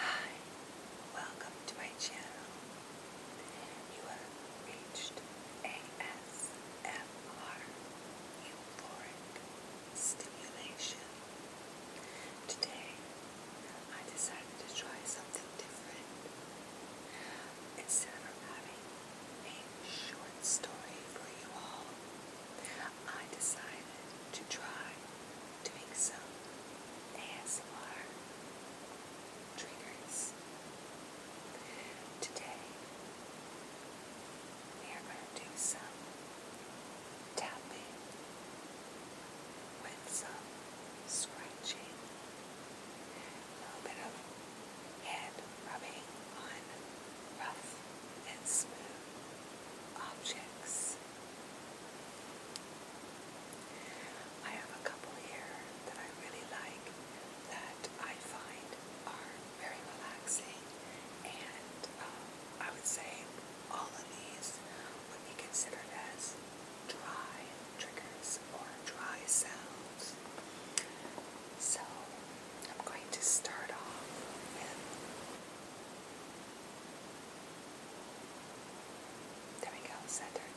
Hi, welcome to my channel. You have reached ASMR Euphoric Stimulation. Today, I decided to try something different. Instead of having a short story for you all, I decided to try doing some ASMR triggers. Today, we are going to do some tapping with some scratching, a bit of hand rubbing on rough and smooth objects. I have a couple here that I really like that I find are very relaxing and um, I would say all of these would be considered as dry triggers or dry sounds. So I'm going to start off with there we go, centered.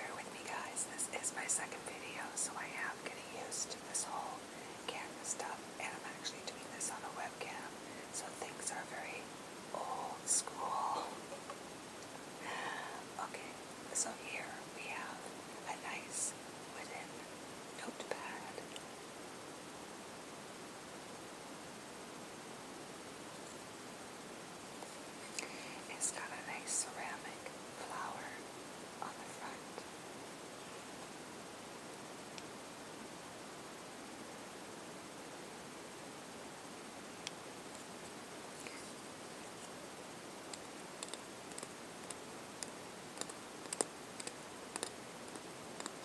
Bear with me guys, this is my second video, so I am getting used to this whole camera stuff, and I'm actually doing this on a webcam, so things are very old school. okay, so here we have a nice wooden notepad. It's got a nice ceramic flower on the front.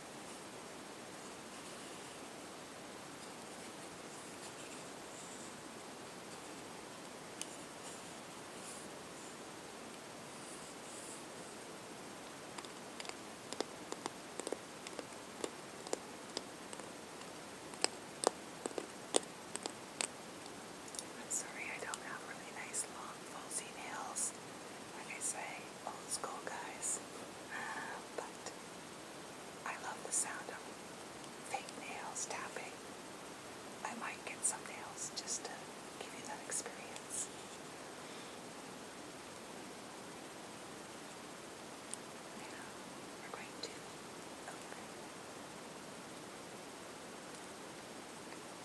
I'm sorry I don't have really nice long, falsy nails. Like I say, old school guys, um, but I love the sound of fake nails tapping. I might get some nails just to give you that experience. Now we're going to open.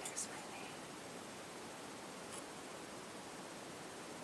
There's my name.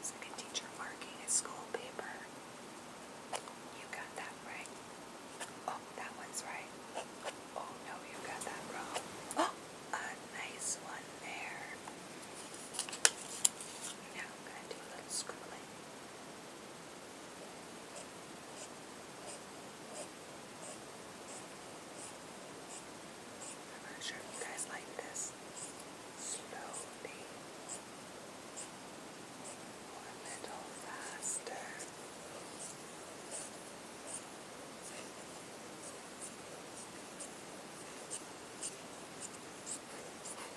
It's like teacher marking a school paper. You got that right. Oh, that one's right. Oh no, you got that wrong. Oh, a nice one there. Now going to do a little scribbling. I'm not sure if you guys like this slowly or a little faster. Just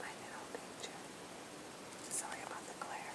My little picture. Sorry about the glare.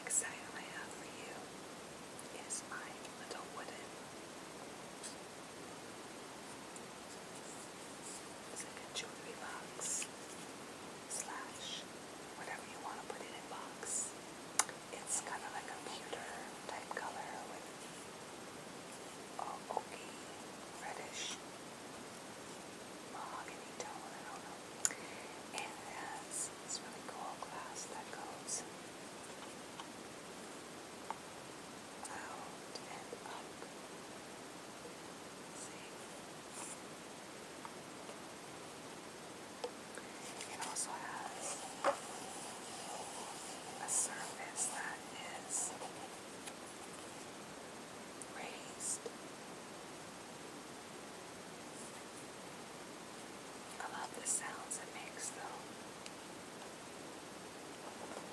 Next item I have for you is my little wooden it's like a jewelry box slash whatever you want to put in a box. It's kind of like a computer type color with uh, oaky, reddish, mahogany tone, I don't know. And it has this really cool glass that goes out and up. See? It also has a surface that is raised. I love the sounds it makes though.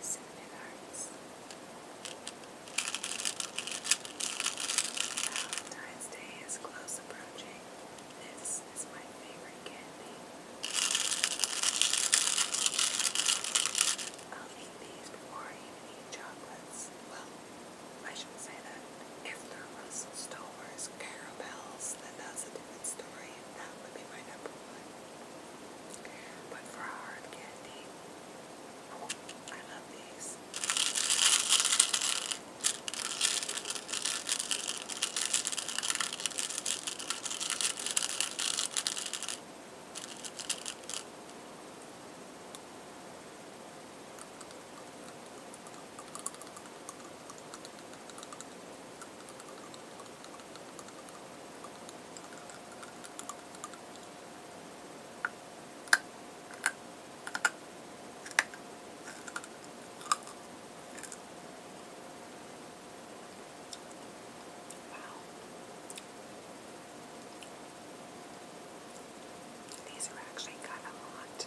Seven Valentine's Day is close approaching. This is my favorite candy. I'll eat these before I even eat chocolates. Well, I shouldn't say that. If they're Russell Stover, there's caramels, then that's a different story. That would be my number one. But for hard candy, I love these. Wow. These are actually kind of hot.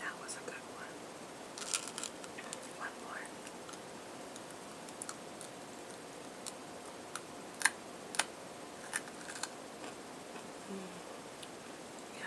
That was a good one. One more. Mm. Yeah.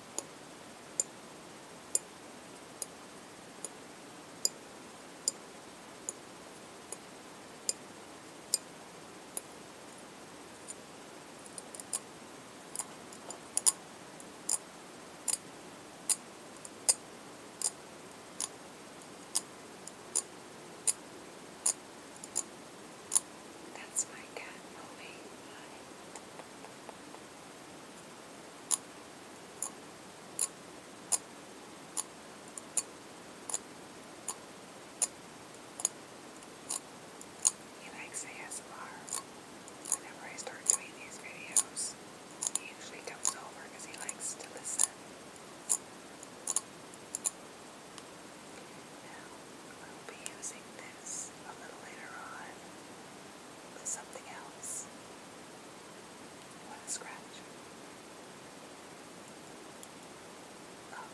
That's my cat moving by. He likes ASMR. Whenever I start doing these videos, he usually comes over because he likes to listen. Now, I'll be using this a little later on with something else. You want scratch? Oh.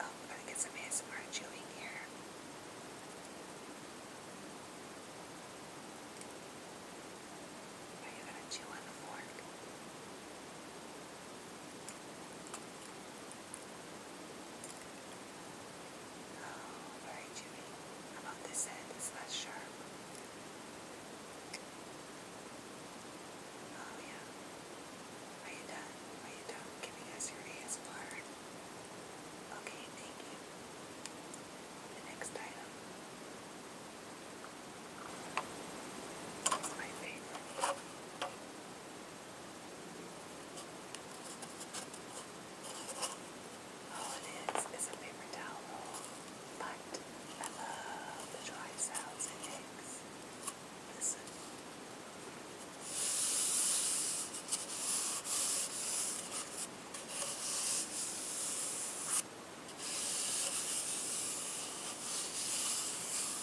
Oh, I think it's amazing we're chewing here. Are you gonna chew on the fork? Oh, very dewy. About this end, it's less sharp. Oh yeah. Are you done? Are you done giving us your ASMR? Okay, thank you. The next item is my favorite. All oh, it is is a paper towel but I love the dry sounds it makes. Listen.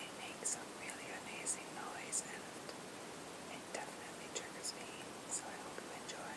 It makes a really amazing noise and it definitely triggers me, so I hope you enjoy.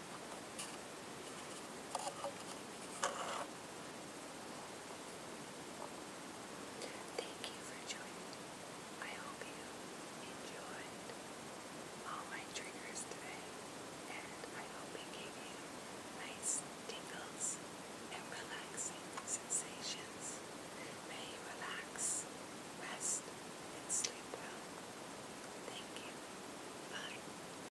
Thank you for joining. I hope you enjoyed all my triggers today, and I hope it gave you nice tingles and relaxing sensations. May you relax, rest, and sleep well. Thank you. Bye.